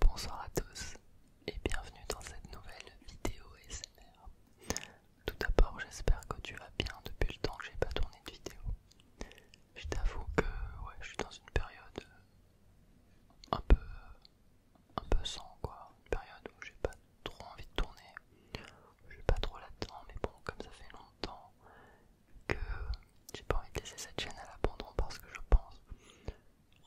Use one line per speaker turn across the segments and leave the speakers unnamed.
Bonsoir à tous et bienvenue dans cette nouvelle vidéo SMR. Tout d'abord j'espère que tu vas bien depuis le temps que j'ai pas tourné de vidéo. Je t'avoue que je suis dans une période euh, un peu un peu sans quoi, une période où j'ai pas trop envie de tourner. Je suis pas trop là-dedans mais bon comme ça fait longtemps que j'ai pas envie de laisser cette chaîne à l'abandon parce que je pense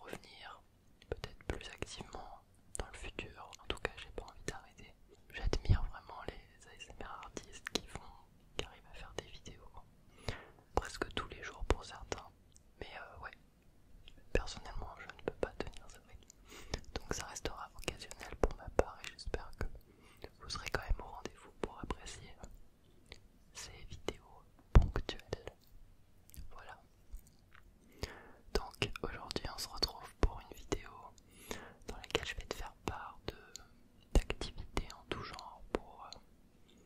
revenir peut-être plus activement dans le futur. En tout cas, j'ai pas envie d'arrêter. J'admire vraiment les ASMR artistes qui font, qui arrivent à faire des vidéos hein. presque tous les jours pour certains. Mais euh, ouais, personnellement, je ne peux pas tenir ça Donc ça restera occasionnel pour ma part et j'espère que vous serez quand même au rendez-vous pour apprécier hein ces vidéos ponctuelles. Voilà. Donc aujourd'hui on se retrouve pour une vidéo dans laquelle je vais te faire part d'activités en tout genre pour,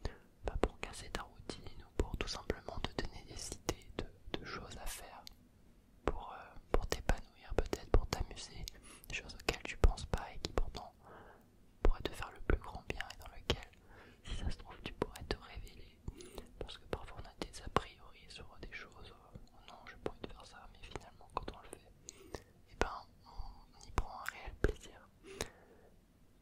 pas euh, bah, pour casser ta routine ou pour tout simplement te donner des idées de, choses à faire pour, euh, pour t'épanouir peut-être, pour t'amuser, des choses auxquelles tu penses pas et qui pourtant pourrait te faire le plus grand bien et dans lequel, si ça se trouve, tu pourrais te révéler. Parce que parfois on a des a priori sur des choses, euh, non, je pourrais te faire ça, mais finalement, quand on le fait, et eh ben, on y prend un réel plaisir.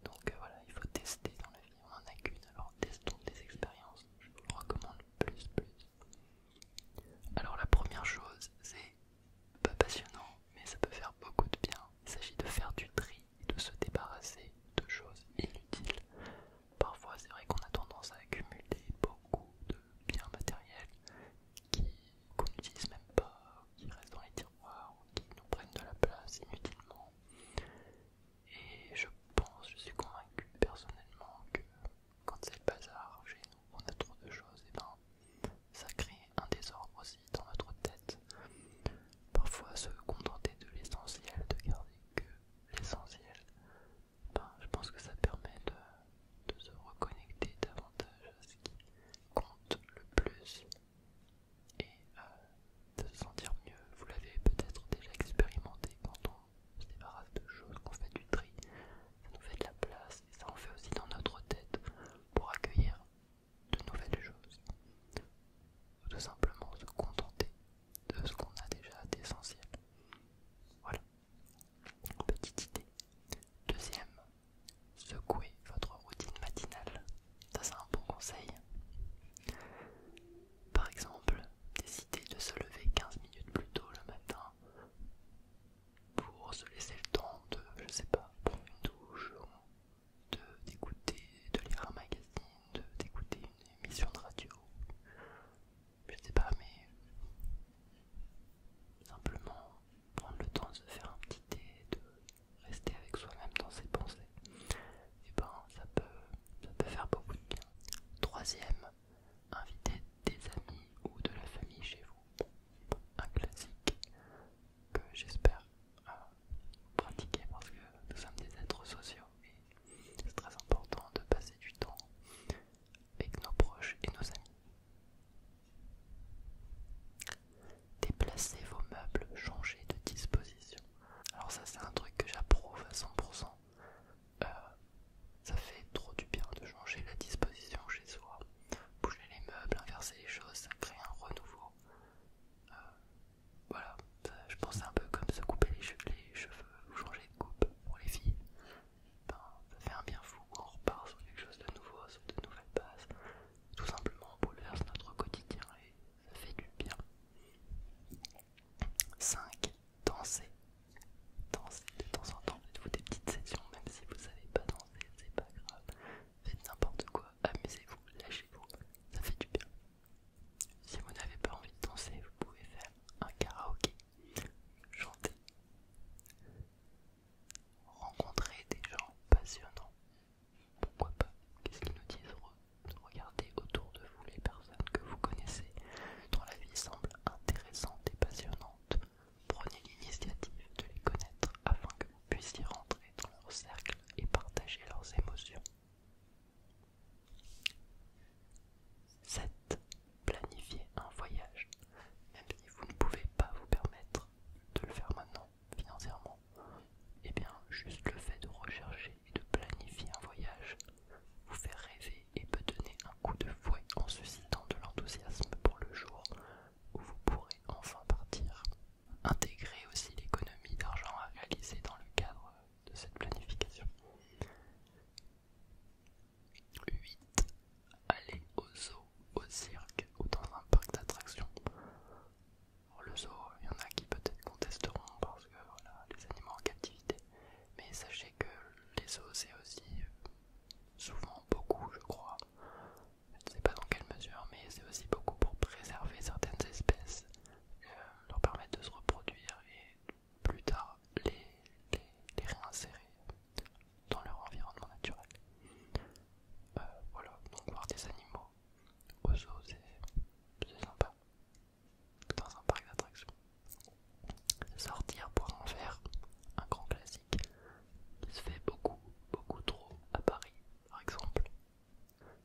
Donc euh, voilà, il faut tester dans la vie, on en a qu'une, alors testons des expériences, je vous recommande plus, plus. Alors la première chose, c'est pas passionnant, mais ça peut faire beaucoup de bien. Il s'agit de faire du tri de se débarrasser de choses inutiles. Parfois, c'est vrai qu'on a tendance à accumuler beaucoup de biens matériels qu'on n'utilise même pas, qui restent dans les tiroirs, qui nous prennent de la place inutilement. Et je pense, je suis convaincu personnellement que quand c'est le bazar on a trop de choses, et eh ben ça crée un désordre aussi dans notre tête. Parfois se contenter de l'essentiel, de garder que l'essentiel, ben, je pense que ça permet de, se reconnecter davantage à ce qui compte le plus et euh, de se sentir mieux. Vous l'avez peut-être déjà expérimenté quand on se débarrasse de choses, qu'on fait du tri, ça nous fait de la place et ça en fait aussi dans notre tête pour accueillir de nouvelles choses, ou tout simplement se contenter de ce qu'on a déjà d'essentiel. Voilà, petite idée. Deuxième, secouez votre routine matinale. Ça c'est un bon conseil. Par exemple, décider de se lever 15 minutes plus tôt le matin pour se laisser le temps de, je sais pas, prendre une douche d'écouter, de, lire un magazine, d'écouter une émission de radio, je sais pas, mais simplement prendre le temps de se faire un petit thé, de rester avec soi-même dans ses pensées, et eh ben ça peut, ça peut faire beaucoup de bien. Troisième, inviter des amis ou de la famille chez vous. Un classique, que j'espère euh, pratiquer parce que nous sommes des êtres sociaux et c'est très important de passer du temps avec nos proches et nos amis. Déplacez vos meubles, changez de disposition. Alors ça c'est un truc que j'approuve à 100%. Euh, ça fait trop du bien de changer la disposition chez soi. Bouger les meubles, inverser les choses, ça crée un renouveau euh, voilà, euh, je pense c'est un peu comme se couper les, cheveux ou changer de coupe pour les filles. Ben, ça fait un bien fou, on repart sur quelque chose de nouveau, sur de nouvelles bases. Tout simplement, on bouleverse notre quotidien et ça fait du bien. 5. Danser. Danser de temps en temps, faites-vous des petites sessions, même si vous savez pas danser, c'est pas grave faites n'importe quoi, amusez-vous, lâchez-vous, ça fait du bien. Si vous n'avez pas envie de danser, vous pouvez faire un karaoké, chanter, rencontrer des gens passionnants. Pourquoi pas Qu'est-ce qu'ils nous disent Regardez autour de vous les personnes que vous connaissez dont la vie semble intéressante et passionnante. Prenez l'initiative de les connaître afin que vous puissiez rentrer dans leur cercle et partager leurs émotions. 7. Planifier un voyage. Même si vous ne pouvez pas vous permettre de le faire maintenant financièrement, eh bien juste le fait de rechercher et de planifier un voyage vous fait rêver et peut donner un coup de fouet en suscitant de l'enthousiasme pour le jour où vous pourrez enfin partir. Intégrer aussi l'économie d'argent à réaliser dans le cadre de cette planification. 8. Aller au zoo, au cirque ou dans un parc d'attractions. Le zoo, il y en a qui peut-être contesteront parce que voilà, les animaux en captivité. Mais sachez que les zoos, c'est aussi euh, souvent beaucoup, je crois, je ne sais pas dans quelle mesure, mais c'est aussi beaucoup pour préserver certaines espèces, euh, leur permettre de se reproduire et plus tard les, réinsérer dans leur environnement naturel. Euh, voilà, donc voir des animaux au zoo, c'est sympa. Dans un parc d'attractions. Sortir pour en faire un grand classique qui se fait beaucoup, beaucoup trop à Paris, par exemple.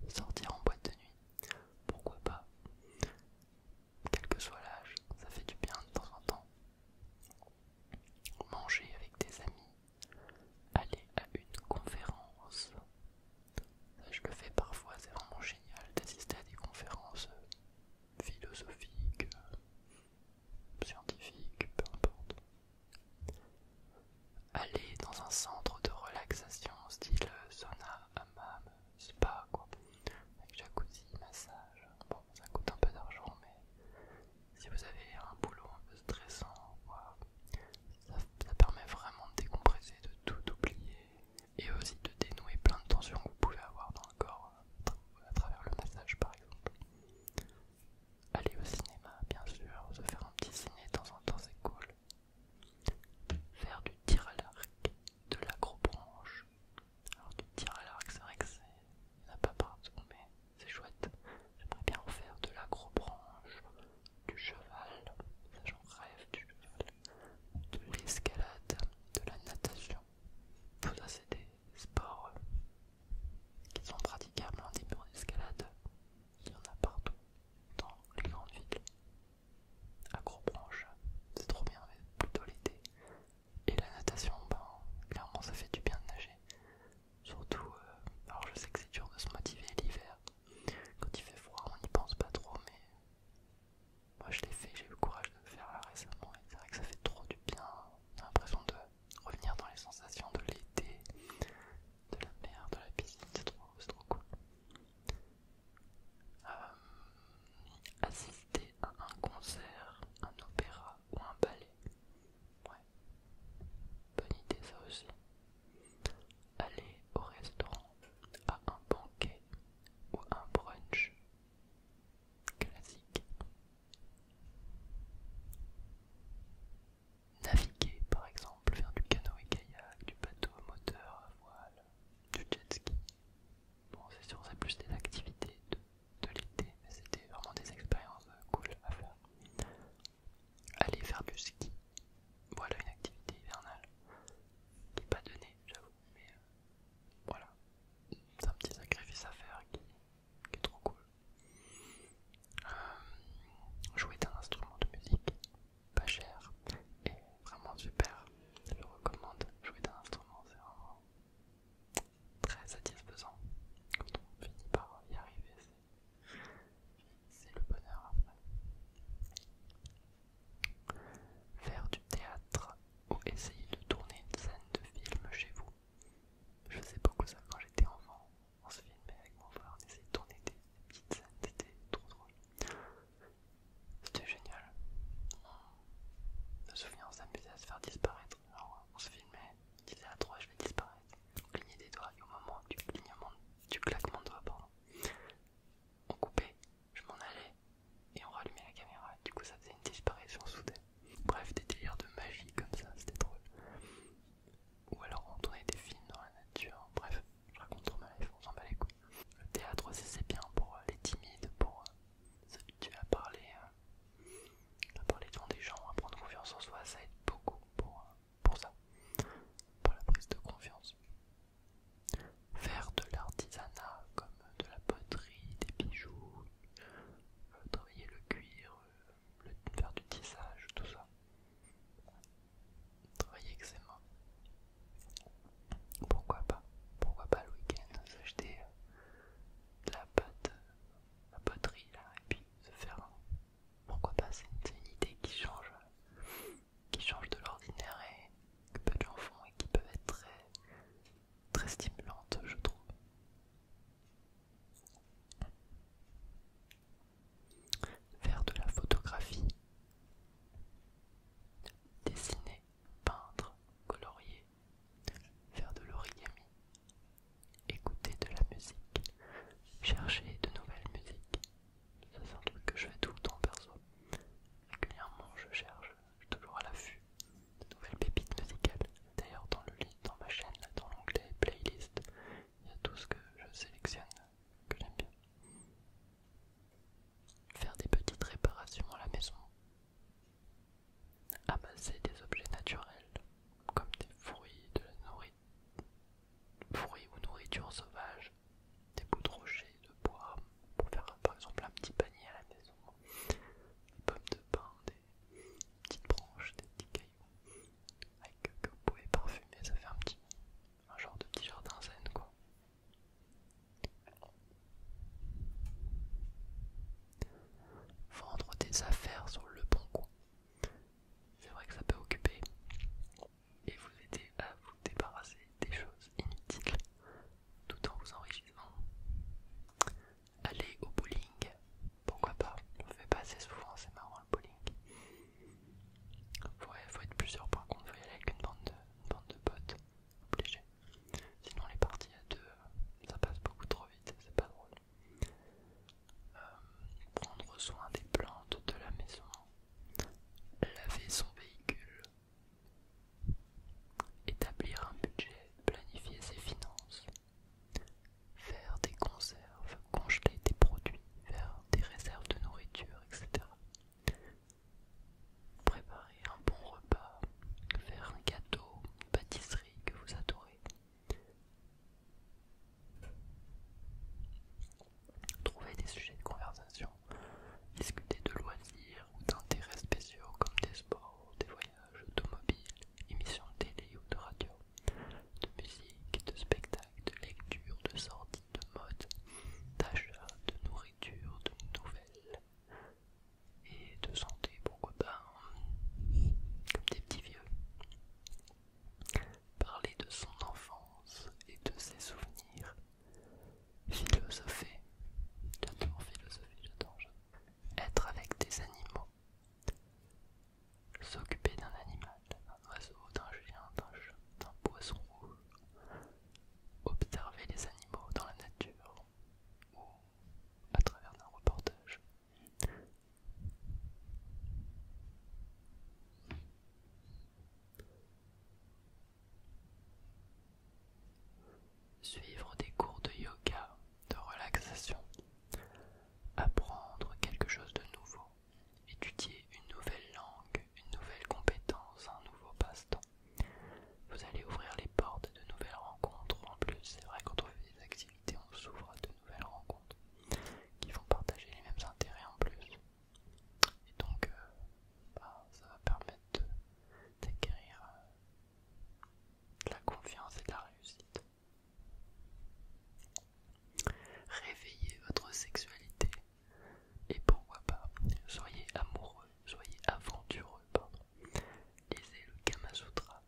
Sortir en boîte de nuit, pourquoi pas Quel que soit l'âge, ça fait du bien de temps en temps. Manger avec des amis, aller à une conférence. je le fais parfois, c'est vraiment génial d'assister à des conférences euh, philosophiques, euh, scientifique, peu importe. Aller dans un centre de relaxation, style sauna, hammam, spa, quoi, avec jacuzzi, massage. Bon, ça coûte un peu d'argent, mais si vous avez un boulot un peu stressant, ça permet vraiment de décompresser, de tout oublier et aussi de dénouer plein de tensions que vous pouvez avoir dans le corps euh, à travers le massage, par exemple. Aller au cinéma, bien sûr, se faire un petit ciné de temps en temps, c'est cool. Faire du tir à l'arc, de l'agrobranche. Alors, du tir à l'arc, c'est vrai que c'est. Il n'y pas partout, mais c'est chouette. J'aimerais bien en faire de branche, du cheval, ça j'en rêve, du cheval, de l'escalade, de la natation. Tout ça, c'est des sports qui sont praticables dans des murs d'escalade Il y en a partout dans les grandes villes. À c'est trop bien, mais plutôt l'été. Et la natation, ben, clairement ça fait du bien de nager. Surtout, euh, alors je sais que c'est dur de se motiver l'hiver. Quand il fait froid, on n'y pense pas trop, mais moi je l'ai fait, j'ai eu le courage de le faire récemment. Et c'est vrai que ça fait trop du bien. J'ai l'impression de revenir dans les sensations de l'été, de la mer, de la piscine, c'est trop, trop cool. Euh, assister à un concert, un opéra ou un ballet. Ouais, bonne idée ça aussi. Aller au restaurant, à un banquet ou un brunch Classique. Naviguer par exemple, faire du canoë-kayak, du bateau moteur à voile, du jet ski. Bon, c'est sûr, c'est plus des activités de, l'été, mais c'était vraiment des expériences euh, cool à faire. Aller faire du ski, voilà une activité hivernale qui n'est pas donnée, j'avoue, mais euh, voilà, c'est un petit sacrifice à faire qui qui est trop cool. Euh, jouer d'un instrument de musique, pas cher et vraiment super. Je le recommande. Jouer d'un instrument, c'est vraiment très satisfaisant. Quand on finit par y arriver, c'est le bonheur après. Faire du théâtre ou essayer de tourner une scène de film chez vous, je faisais beaucoup ça quand j'étais enfant. On se filmait avec mon frère, on essayait de tourner des petites scènes, c'était trop drôle. C'était génial. Je me souviens, on s'amusait à se faire disparaître. on se filmait, on disait à ah, trois, je vais disparaître. On clignait des doigts et au moment du, clignement, du claquement de doigts, on coupait, je m'en allais et on rallumait la caméra. Du coup, ça faisait une disparition soudaine. Bref, des délires de magie comme ça, c'était drôle. Ou alors on tournait des films dans la nature, bref, je raconte trop ma on s'en bat les couilles. Le théâtre c'est bien pour euh, les timides, pour s'habituer euh, à parler, euh, à parler devant des gens, à prendre confiance en soi, ça aide beaucoup pour, pour ça, pour la prise de confiance. Faire de l'artisanat comme de la poterie, des bijoux, travailler le cuir, euh, faire du tissage, tout ça. Travailler avec ses mains. Pourquoi pas Pourquoi pas le week-end s'acheter euh, de la pâte, euh, la poterie là, et puis se faire Pourquoi pas C'est une, idée qui change, qui change de l'ordinaire et que peu de gens font et qui peuvent être très très stimulante, je trouve. Faire de la photographie, dessiner, peindre, colorier, faire de l'origami, écouter de la musique, chercher de nouvelles musiques. c'est un truc que je fais tout le temps perso. Régulièrement je cherche je toujours à l'affût de nouvelles pépites musicales. D'ailleurs, dans le lit, dans ma chaîne, dans l'onglet playlist, il y a tout ce que je sélectionne que j'aime bien. Faire des petites réparations à la maison. Amasser des objets naturels, comme des fruits, de la nourriture fruits ou nourriture sauvage, des bouts de rochers, de bois, pour faire par exemple un petit panier à la maison. Des pommes de pain, des petites branches, des petits cailloux avec, que vous pouvez parfumer, ça fait un petit un genre de petit jardin zen quoi. Vendre des affaires sur le bon coin. C'est vrai que ça peut occuper et vous aider à vous débarrasser des choses inutiles tout en vous enrichissant. Aller au bowling, pourquoi pas, on fait pas assez souvent, c'est marrant le bowling. il faut être plusieurs par contre, faut y aller avec une bande de, bande potes, obligé. Sinon les parties à deux, ça passe beaucoup trop vite, c'est pas drôle. Euh, prendre soin des plantes de la maison, laver son véhicule, Établir un budget, planifier ses finances. Faire des conserves, congeler des produits, faire des réserves de nourriture, etc. Préparer un bon repas, faire un gâteau, une pâtisserie que vous adorez. Trouver des sujets de conversation, discuter de loisirs, ou d'intérêts spéciaux comme des sports, des voyages automobiles, émissions de télé ou de radio, de musique, de spectacles, de lecture, de sorties, de mode, d'achat, de nourriture, de nouvelles et de santé, pourquoi pas, hein, comme des petits vieux. Parler de son enfance et de ses souvenirs Philosopher. J'adore philosopher, j'adore. Être avec des animaux. S'occuper d'un animal, d'un oiseau, d'un chien, d'un chat, d'un poisson rouge. Observer les animaux dans la nature ou à travers un reportage. Suivre des cours de yoga, de relaxation. Apprendre quelque chose de nouveau. Étudier une nouvelle langue, une nouvelle compétence, un nouveau passe-temps. Vous allez ouvrir les portes de nouvelles rencontres. En plus, c'est vrai quand on des activités, on s'ouvre à de nouvelles rencontres qui vont partager les mêmes intérêts en plus. Et donc, euh, bah, ça va permettre d'acquérir euh, la confiance et de la réussite. Réveillez votre sexualité et pourquoi pas, soyez amoureux, soyez aventureux, pardon. Lisez le Kama Sutra.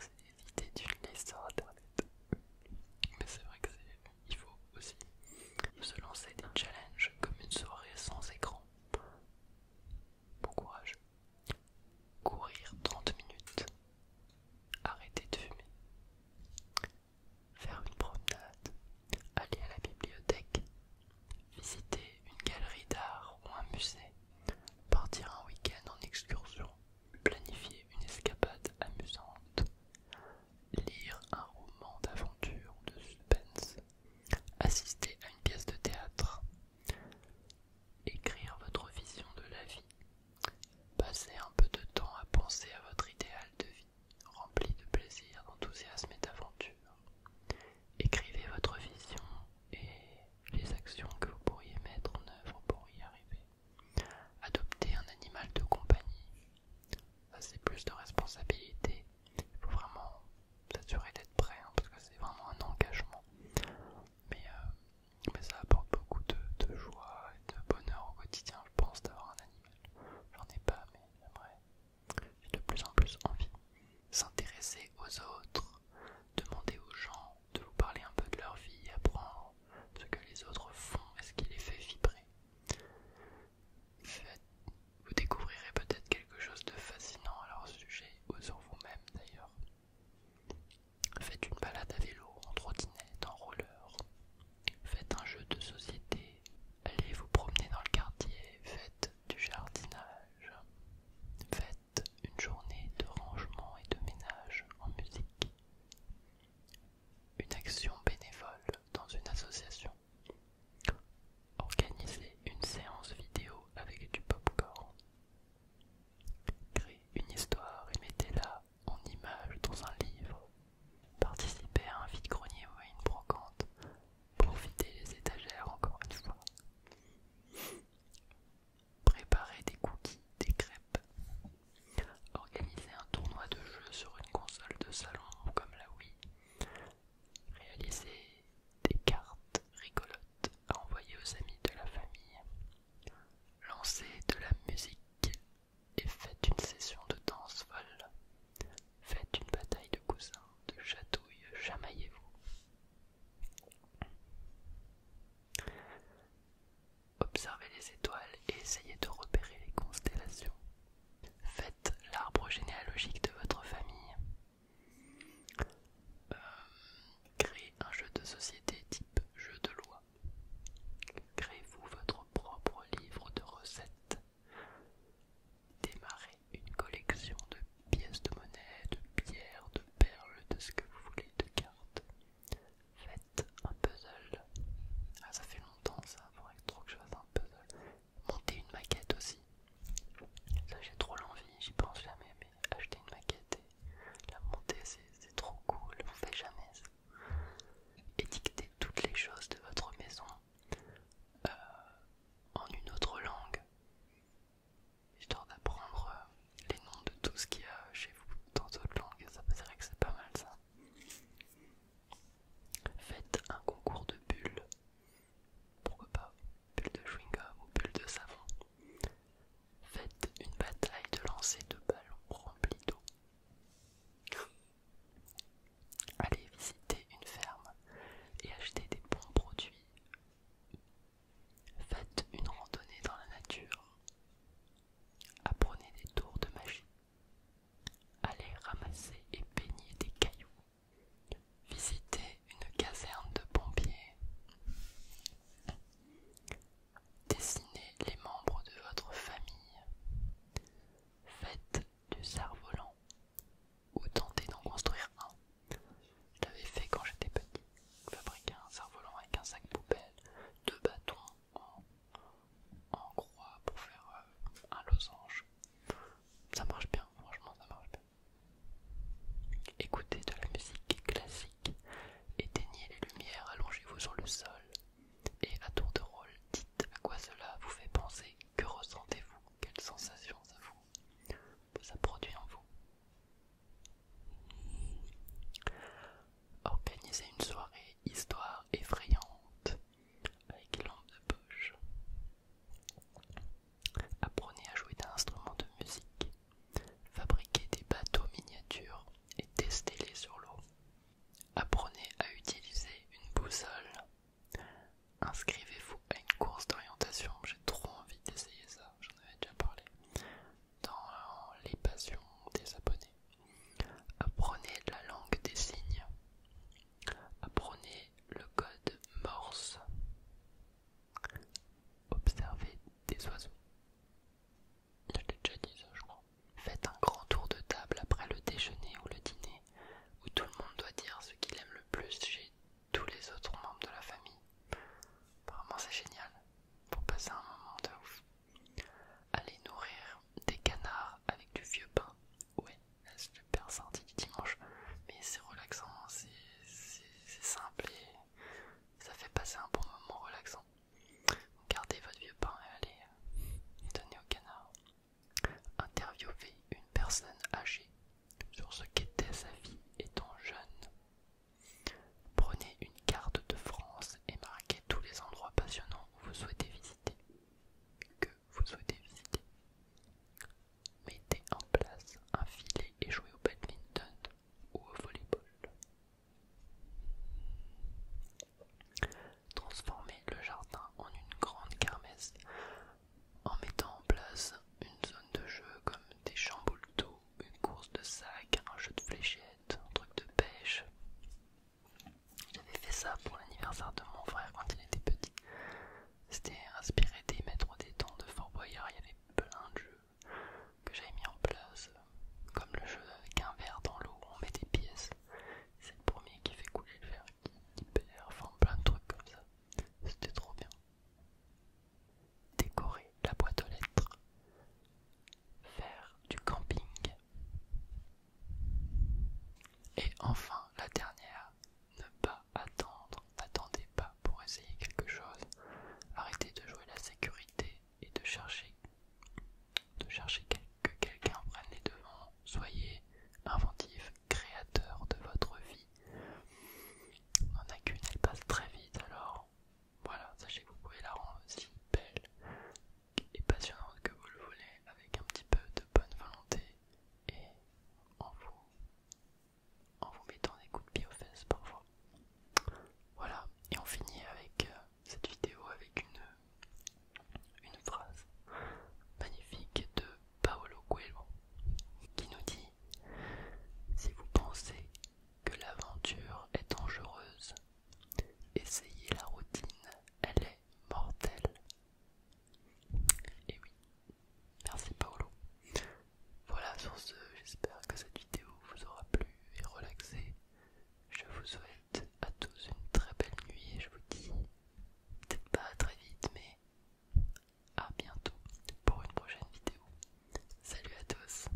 c'est l'idée d'une liste sur internet. Mais c'est vrai que c'est il faut aussi se lancer des challenges comme une soirée sans écran. Bon courage. Courir 30 minutes. Arrêter de fumer. Faire une promenade. Aller à la bibliothèque. Visiter une galerie d'art ou un musée. Partir un week-end en excursion. Planifier une escapade amusante lire un roman d'aventure ou de suspense, assister à une pièce de théâtre, écrire votre vision de la vie, passer un peu de temps à penser à votre idéal de vie, rempli de plaisir, d'enthousiasme et d'aventure. Écrivez votre vision et les actions que vous pourriez mettre en œuvre pour y arriver. Adoptez un animal de compagnie, ça c'est plus de responsabilité. Il faut vraiment s'assurer d'être prêt hein, parce que c'est vraiment un engagement. Mais, euh, ça apporte beaucoup de, joie et de bonheur au quotidien, je pense, d'avoir un animal. J'en ai pas, mais j'aimerais. J'ai de plus en plus envie. S'intéresser aux autres, demander aux gens de vous parler un peu de leur vie, apprendre ce que les autres font et ce qui les fait vibrer. Vous découvrirez peut-être quelque chose de fascinant à leur sujet aux sur vous-même d'ailleurs. Faites une balade à vélo, en trottinette, en roller. Faites un jeu de société. Allez vous promener dans le quartier. Faites du jardinage. Faites une journée de rangement et de ménage en musique une action bénévole dans une association, organiser une séance vidéo avec du pop popcorn, créer une histoire et mettez-la en image dans un livre, participer à un vide-grenier ou à une brocante, profiter les étagères encore une fois, préparer des cookies, des crêpes, Organisez un tournoi de jeu sur une console de salon comme la Wii. Réalisez des cartes rigolotes à envoyer aux amis de la famille. Lancez de la musique et faites une session de danse folle. Faites une bataille de cousins, de chatouilles, chamaillez-vous. Observez les étoiles et essayez de repérer les constellations. Faites l'arbre généalogique de votre famille. Euh, créez un jeu de société type jeu de loi. Créez-vous votre propre livre de recettes. Démarrez une collection de pièces de monnaie, de pierres, de perles, de ce que vous voulez, de cartes. Faites un puzzle. Ah, ça fait longtemps ça, il faudrait trop que je fasse un puzzle. Monter une maquette aussi. Ça j'ai trop l'envie, j'y pense jamais, mais acheter une maquette et la monter c'est trop cool, on fait jamais ça. Édictez toutes les choses de votre maison euh, en une autre langue, histoire d'apprendre euh, les noms de tout ce qu'il y a chez vous dans d'autres langues, ça vrai que c'est pas mal ça. Faites un concours de bulles. Pourquoi pas Bulles de chewing-gum ou bulles de savon. Faites une bataille de lancer de ballons remplis d'eau. Allez visiter une ferme et acheter des bons produits. Faites une randonnée dans la nature. Apprenez des tours de magie aller ramasser et peigner des cailloux, visiter une caserne de pompiers, dessiner les membres de votre famille, faites du cerf-volant ou tentez d'en construire un. Je l'avais fait quand j'étais petit, fabriquer un cerf-volant avec un sac poubelle, deux bâtons en, croix pour faire euh, un losange. Ça marche bien, franchement, ça marche bien. Écoutez de la musique classique, éteignez les lumières, allongez-vous sur le sol et à tour de rôle, dites à quoi cela vous fait penser, que ressentez-vous, quelles sensations ça vous ça produit en vous. Organisez une soirée histoire effrayante avec lampe de poche. Apprenez à jouer d'instruments de musique, fabriquez des bateaux miniatures et testez-les sur l'eau. Apprenez à utiliser une boussole. Inscrivez-vous à une course d'orientation, j'ai trop envie d'essayer ça, j'en avais déjà parlé, dans euh, les passions des abonnés. Apprenez la langue des signes. Apprenez le code morse. Observez des oiseaux. Je l'ai déjà dit ça, je crois. Faites un grand tour de table après le déjeuner ou le dîner, où tout le monde doit dire ce qu'il aime le plus chez tous les autres membres de la famille. Apparemment, c'est génial pour passer un moment de ouf. Aller nourrir des canards avec du vieux pain, ouais, super sortie du dimanche, mais c'est relaxant, c'est simple et ça fait passer un bon moment relaxant. Gardez votre vieux pain et allez euh, donner aux canards. Interviewer une personne âgée sur ce qu'était sa vie étant jeune. Prenez une carte de France et marquez tous les endroits passionnants Que vous souhaitez visiter. Mettez en place un filet et jouez au badminton ou au volleyball. Transformez le jardin en une grande kermesse en mettant en place une zone de jeu comme des chamboulots, une course de sac, un jeu de fléchettes, un truc de pêche. J'avais fait ça pour l'anniversaire de mon frère quand il était petit. C'était inspiré des maîtres des temps de Fort Boyard. Il y avait plein de jeux que j'avais mis en place, comme le jeu avec un verre dans l'eau on met des pièces. C'est le premier qui fait couler le verre, qui perd, enfin plein de trucs comme ça. C'était trop bien. Décorer la boîte aux lettres faire du camping. Et enfin, la dernière, ne pas attendre. N'attendez pas pour essayer quelque chose. Arrêtez de jouer la sécurité et de chercher, de chercher que quelqu'un prenne les devants. Soyez inventif, créateur de votre vie. On n'en a qu'une, elle passe très vite, alors voilà, sachez que vous pouvez la rendre aussi euh, belle et passionnante que vous le voulez avec un petit peu de bonne volonté et en vous, en vous mettant des coups de pied aux fesses parfois. Voilà, et on finit avec euh, cette vidéo avec une, une phrase magnifique de Paolo Coelho qui nous dit Si vous pensez que l'aventure est dangereuse, Essayez la routine, elle est mortelle. Et oui, merci Paolo. Voilà, sur ce, j'espère que cette vidéo vous aura plu et relaxé. Je vous souhaite à tous une très belle nuit et je vous dis peut-être pas très vite, mais à bientôt pour une prochaine vidéo. Salut à tous